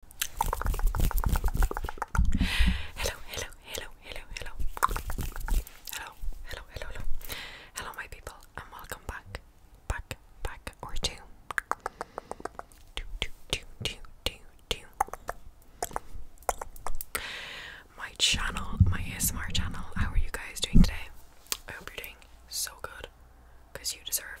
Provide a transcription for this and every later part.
Hello, hello, hello, hello, hello. Hello, hello, hello, hello. Hello, my people, and welcome back, back, back, or two. Do, My channel, my ASMR channel. How are you guys doing today? I hope you're doing so good because you deserve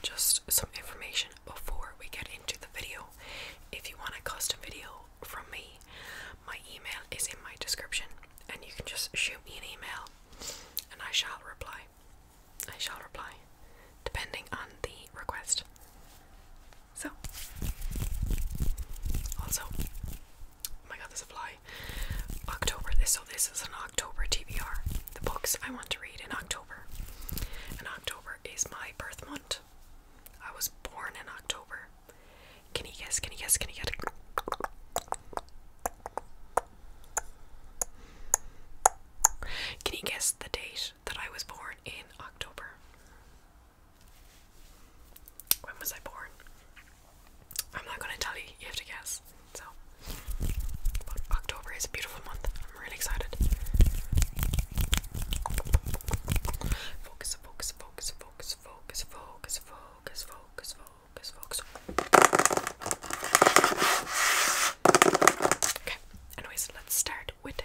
just some information before we get into the video. If you want a custom video from me, my email is in my description, and you can just shoot me an email and I shall reply. I shall reply, depending on the request. So, also, Oh my god, there's a fly. October. This so this is an October TBR. The books I want to read in October. And October is my birth month. I was born in October. Can you guess? Can you guess? Can you guess? Can you guess the date that I was born in October? When was I born? I'm not gonna tell you, you have to guess. So, October is a beautiful month. I'm really excited. focus, focus, focus, focus, focus, focus, focus, focus, focus. Okay, anyways, let's start with the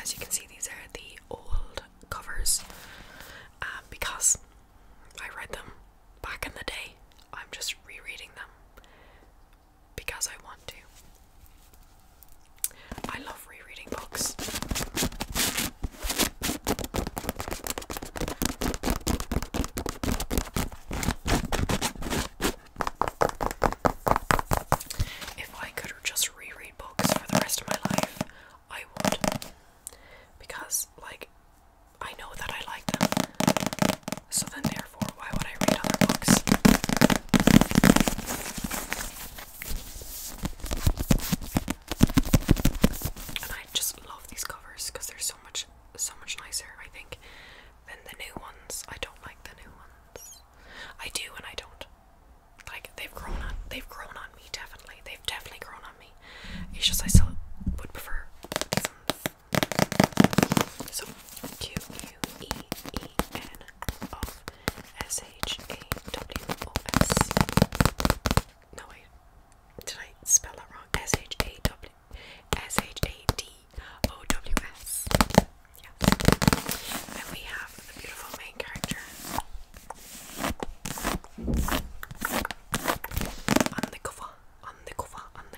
As you can see, these are the old covers um, because I read them back in the day. I'm just rereading them because I want to. I love rereading books. If I could just reread books for the rest of my life, I would. Because, like, I know that I like them. So then, therefore, why would I read other books? And I just love these covers because they're so much, so much nicer. I think than the new ones. I don't like the new ones. I do and I don't. Like they've grown on they've grown on me definitely. They've definitely grown on me. It's just I still would prefer so Q U E E N of S H A W O S. No wait, did I spell that wrong? S H A W S H A D O W S. Yes. And we have the beautiful main character on the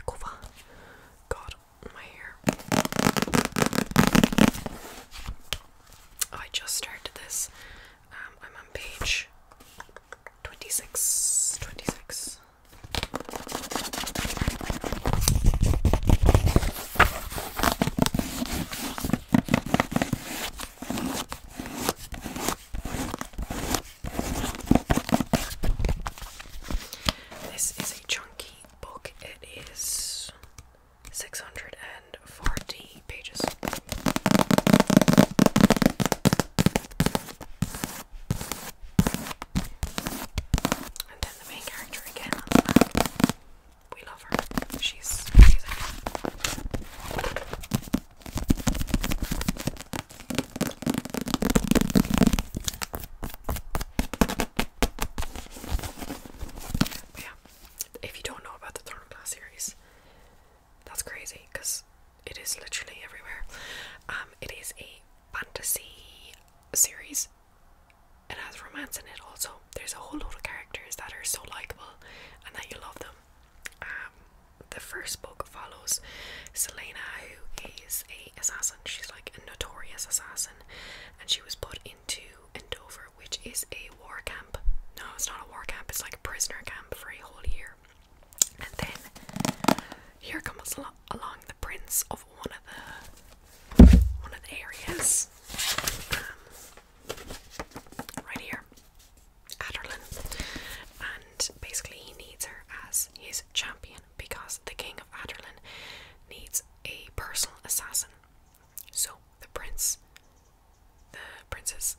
cover, God, my hair. I just started this. Um, I'm on page 26. 26. This is a chunky book. It is 640 pages. And then the main character again We love her. She's amazing. yeah, if you don't know about the Throne of Glass series, that's crazy because it is literally everywhere. Um, it is a fantasy series. It has romance in it also. There's a whole lot of characters that are so likable and that you love them. Um, the first book follows Selena, who is a assassin. She's like a notorious assassin, and she was put into Endover, which is a war camp. No, it's not a war camp. It's like a prisoner camp for a whole year. And then here comes along the prince of one of the one of the areas. Um, right here, Adderlin, and basically he needs her as his champion because the king of Adderlin needs a personal assassin. So the prince, the princess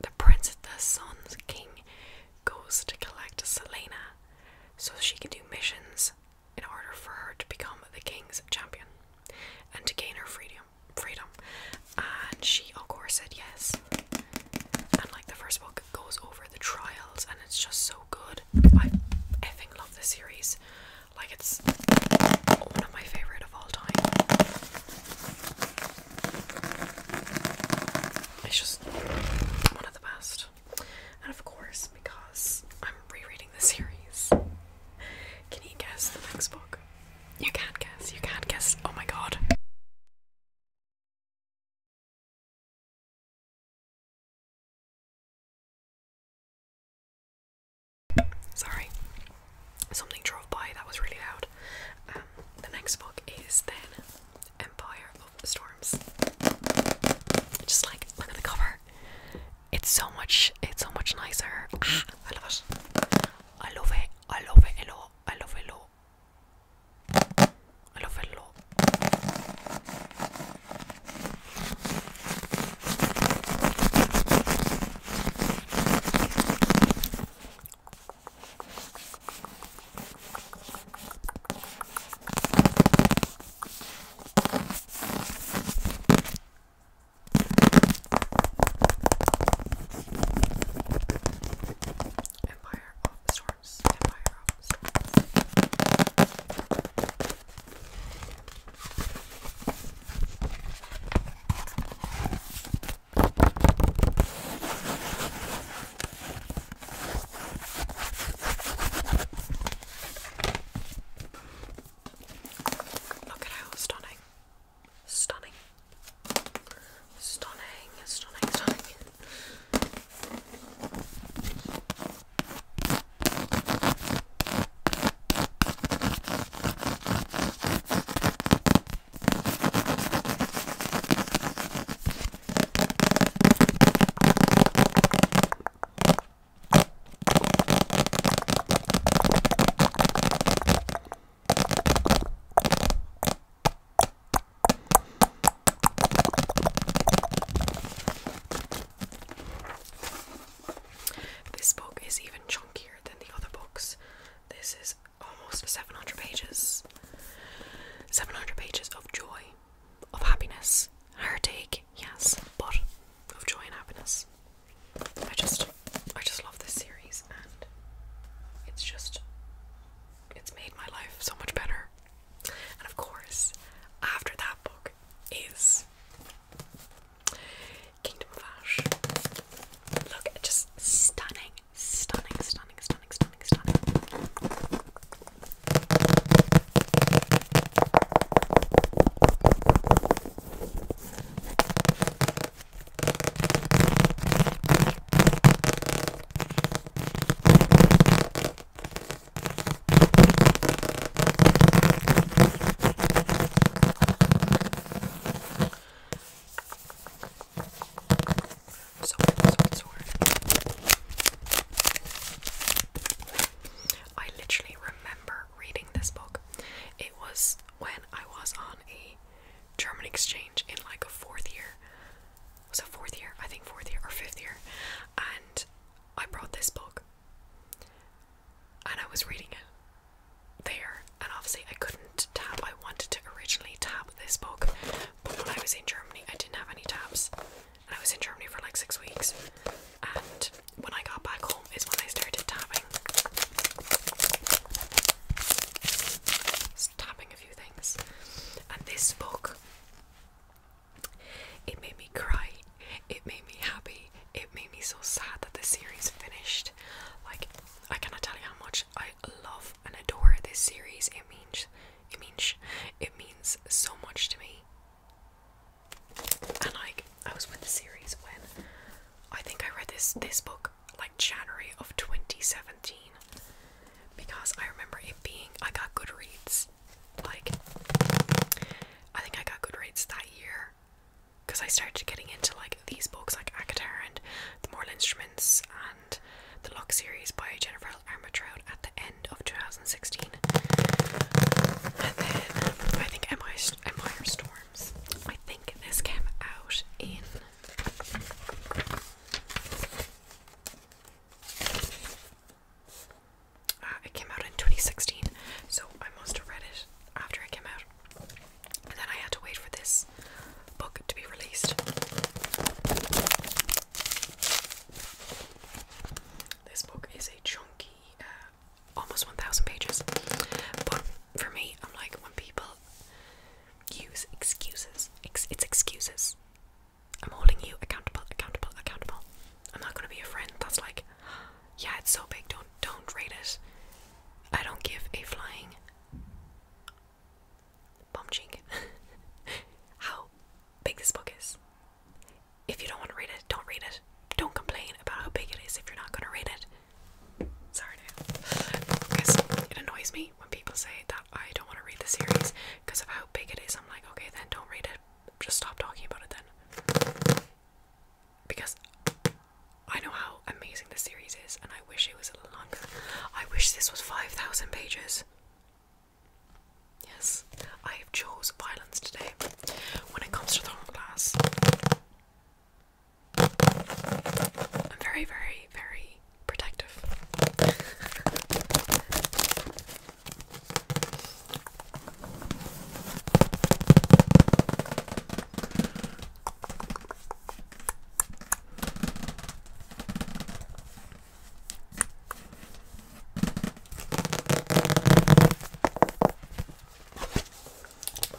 the prince of the sun's king goes to collect Selena so she can do missions in order for her to become the king's champion and to gain her freedom freedom and she of course said yes and like the first book goes over the trials and it's just so good I effing love the series like it's one of my favorite of all time it's just one of the best. And of course, because I'm rereading the series, can you guess the next book? You can't guess, you can't guess. Oh my god. Sorry, something drove by that was really loud. Um, the next book is then Empire of Storms. Just like look at the cover. It's so much it's so much nicer. Ah, I love it. I love it. I love it a lot. I love it I love it Empire of the Storms. Empire of the Storms. Look at how stunning. Stunning. Stunning, stunning, stunning. This book is even chunkier than the other books. This is almost 700 pages. 700 pages of joy, of happiness, heartache, yes, but of joy and happiness. I just, I just love this series, and it's just, it's made my life so much better. And of course, after that book is Kingdom of Ash. Look, just stunning, stunning, stunning, stunning, stunning, stunning. I literally remember reading this book. It was when I was on a German exchange in like a fourth year. Was it fourth year? I think fourth year or fifth year. And I brought this book and I was reading it there and obviously I couldn't tap. I wanted to originally tap this book, but when I was in Germany I didn't have any tabs. And I was in Germany for like six weeks. And when I got back home is when I started tapping. Just tapping a few things. And this book it made me cry. It made me happy. It made me so sad that the series finished. Like I cannot tell you how much I love and adore this series. It means, it means, it means so much to me. And like, I was with the series when I think I read this this book like January of 2017 because I remember it being I got good reads. Like, I think I got good reads that year, because I started getting into like these books like Akatar and The Moral Instruments and The Lock series by Jennifer Armitrout at the end of 2016. And then I think Empire, Empire Storms. I think this came out in uh, it came out in 2016, so I must have read it after it came out. And then I had to wait for this book to be released. This book is a chunky, uh, almost 1,000 pages. But for me, I'm like, when people use excuses, it's excuses. I'm holding you accountable, accountable, accountable. I'm not going to be a friend that's like, yeah, it's so big, don't, don't rate it. I don't give a flying bum cheek how big this book is. If you don't want to read it, don't read it. Don't complain about how big it is if you're not going to read it. Sorry, because it annoys me when people say that I don't want to read the series because of how big it is. I'm like, okay, then don't read it. Just stop talking about it then because I know how amazing this series is, and I wish it was a little longer. I wish this was 5,000 pages. Yes, I have chose violence today. When it comes to thermal glass, I'm very, very, very protective.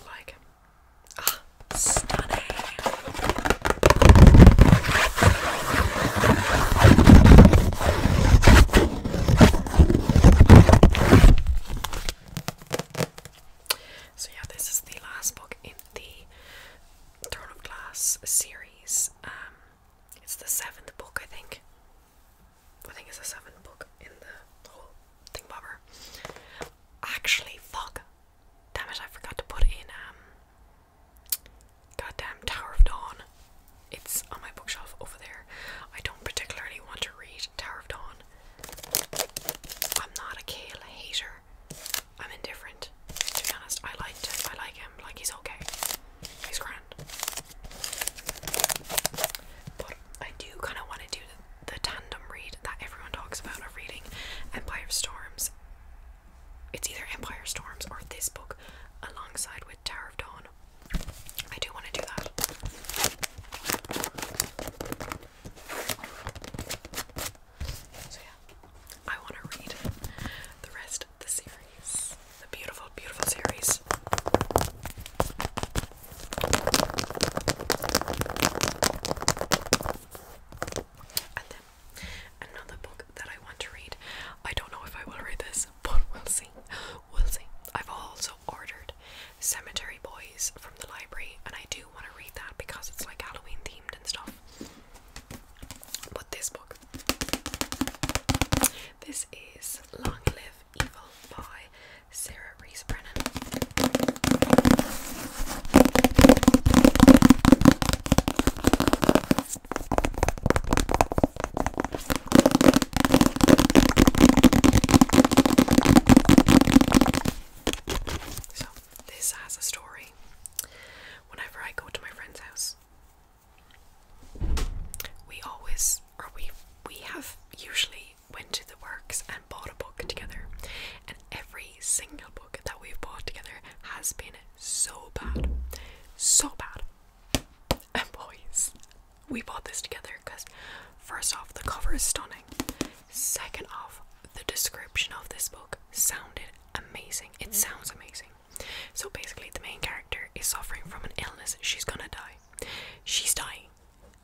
Like, ah, stunning. So yeah, this is the last book in the Throne of Glass series. Um, it's the seventh book, I think. I think it's the seventh book in the whole thing bobber. Actually, fuck. Damn it, I forgot to put in um, goddamn Tower of Dawn. It's on my bookshelf over there. I don't particularly want to read Tower of Dawn. I'm not a Kale hater. I'm indifferent. To be honest, I like to, I like him. Like he's okay. He's grand. But I do kind of want to do the, tandem read that everyone talks about of reading Empire Storms. It's either Empire Storms or this book alongside with Tower of Dawn I do want to do that. So, yeah, I want to read the rest of the series. The beautiful, beautiful series. And then another book that I want to read. I don't know if I will read this, but we'll see. We'll see. I've also ordered Cemetery Boys from the library, and I do want to read that because it's like Halloween themed and stuff. But this book, this is Long Live Evil by Sarah Reese Brennan. So, this has a story. Whenever I go to my friend's house, we always, or we, we have usually went to the works and bought a book together. And every single book that we've bought together has been so bad. So bad. And boys, we bought this together because first off, the cover is stunning. Second off, the description of this book sounded amazing. It sounds amazing. So basically, the main character is suffering from an illness. She's gonna die. She's dying.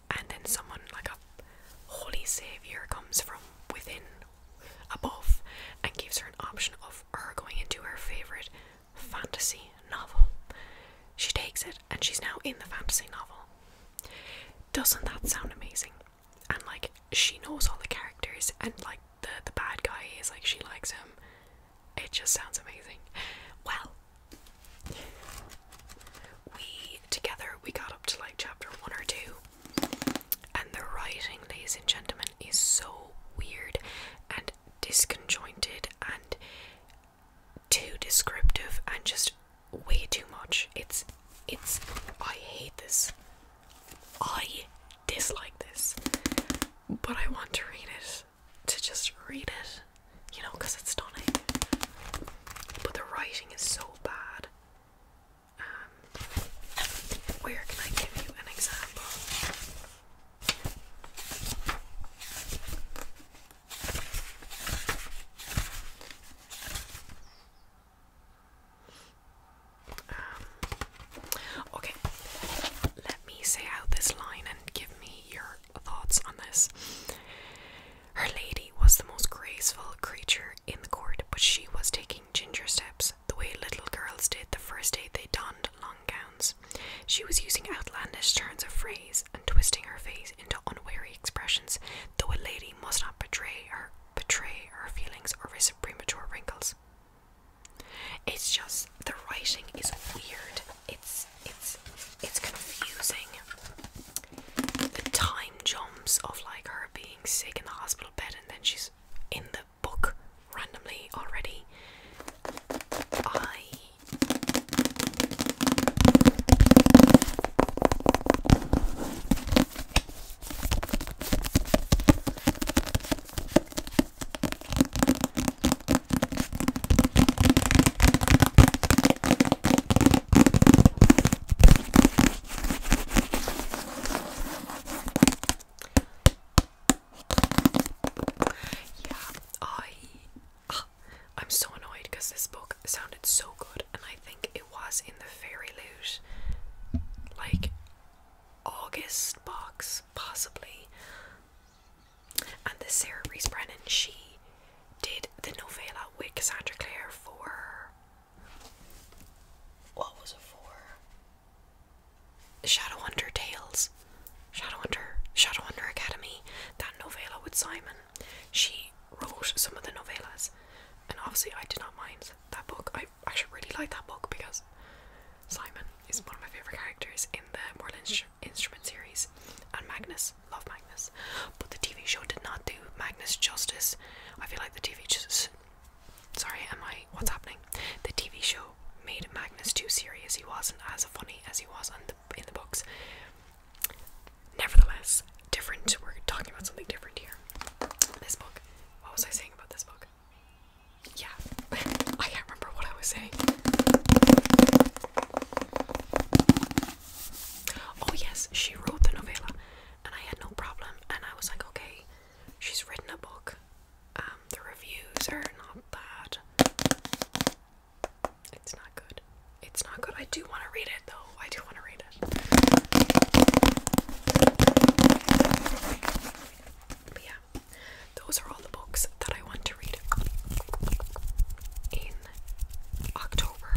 And then someone, like a holy savior, comes from within, above, and gives her an option of her going into her favorite fantasy novel. She takes it and she's now in the fantasy novel. Doesn't that sound amazing? And like she knows all the characters and like the the bad guy is like she likes him. It just sounds amazing. Well, we together we got up to like chapter one or two, and the writing, ladies and gentlemen, is so weird and Disjointed and too descriptive and just way too much. It's it's I hate this. I dislike this. But I want to read it to just read it, you know, because it's stunning. But the writing is so bad. Um, where can I give you an example? Um, okay, let me say out this line and give me your thoughts on this. Her lady was the most graceful creature in the court, but she was taking ginger steps the way little girls did the first day they donned long gowns. She was using outlandish turns of phrase and twisting her face into unwary expressions, though a lady must not betray her betray her feelings or risk premature wrinkles. It's just the writing is weird. It's it's it's confusing. The time jumps of like her being sick in the hospital bed and then she's in the book randomly already. Yeah, I. Ah, I'm so annoyed because this book sounded so good, and I think it was in the Fairy Loot, like August box, possibly. And the Sarah Reese Brennan, she did the novella with Cassandra Clare for. What was it for? Shadow Shadowhunter Tales, Shadow Shadow Shadowhunter Academy, that novella with Simon. She wrote some of the novellas, and obviously I did not mind that book. I actually really like that book because Simon is one of my favorite characters in the Mortal Instrument series, and Magnus, love Magnus. But the TV show did not do Magnus justice. I feel like the TV Sorry, am I? What's happening? The TV show made Magnus too serious. He wasn't as funny as he was on the, in the books. Nevertheless, different. We're talking about something different here. This book. What was I saying about this book? Yeah, I can't remember what I was saying. Oh, yes, she wrote the novella, and I had no problem. And I was like, okay, she's written a book um, the reviews are not bad. It's not good. It's not good. I do want to read it though. I do want to read it. But yeah, those are all the books that I want to read in October.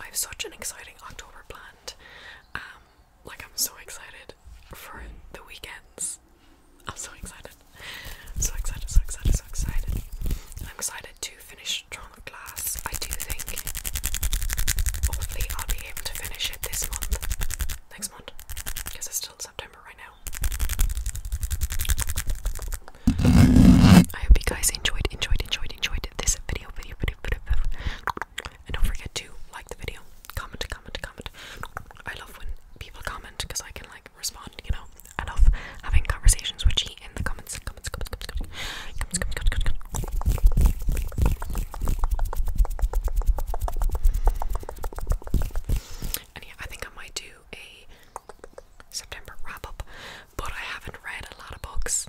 I have such an exciting October planned. Um, like I'm so excited for the weekends. I'm so excited. I'm so excited, so excited, so excited. I'm excited to finish Toronto Glass. I do think hopefully I'll be able to finish it this month. Next month. Because it's still September right now. I hope you guys enjoyed, enjoyed, enjoyed, enjoyed, this video, video, video, video, And don't forget to like the video, comment, comment, comment. I love when people comment because I can like respond, you know. I love having conversations with you in the comments, comments, comments, comments, comments, comments, comments. And yeah, I think I might do a September wrap up, but I haven't read a lot of books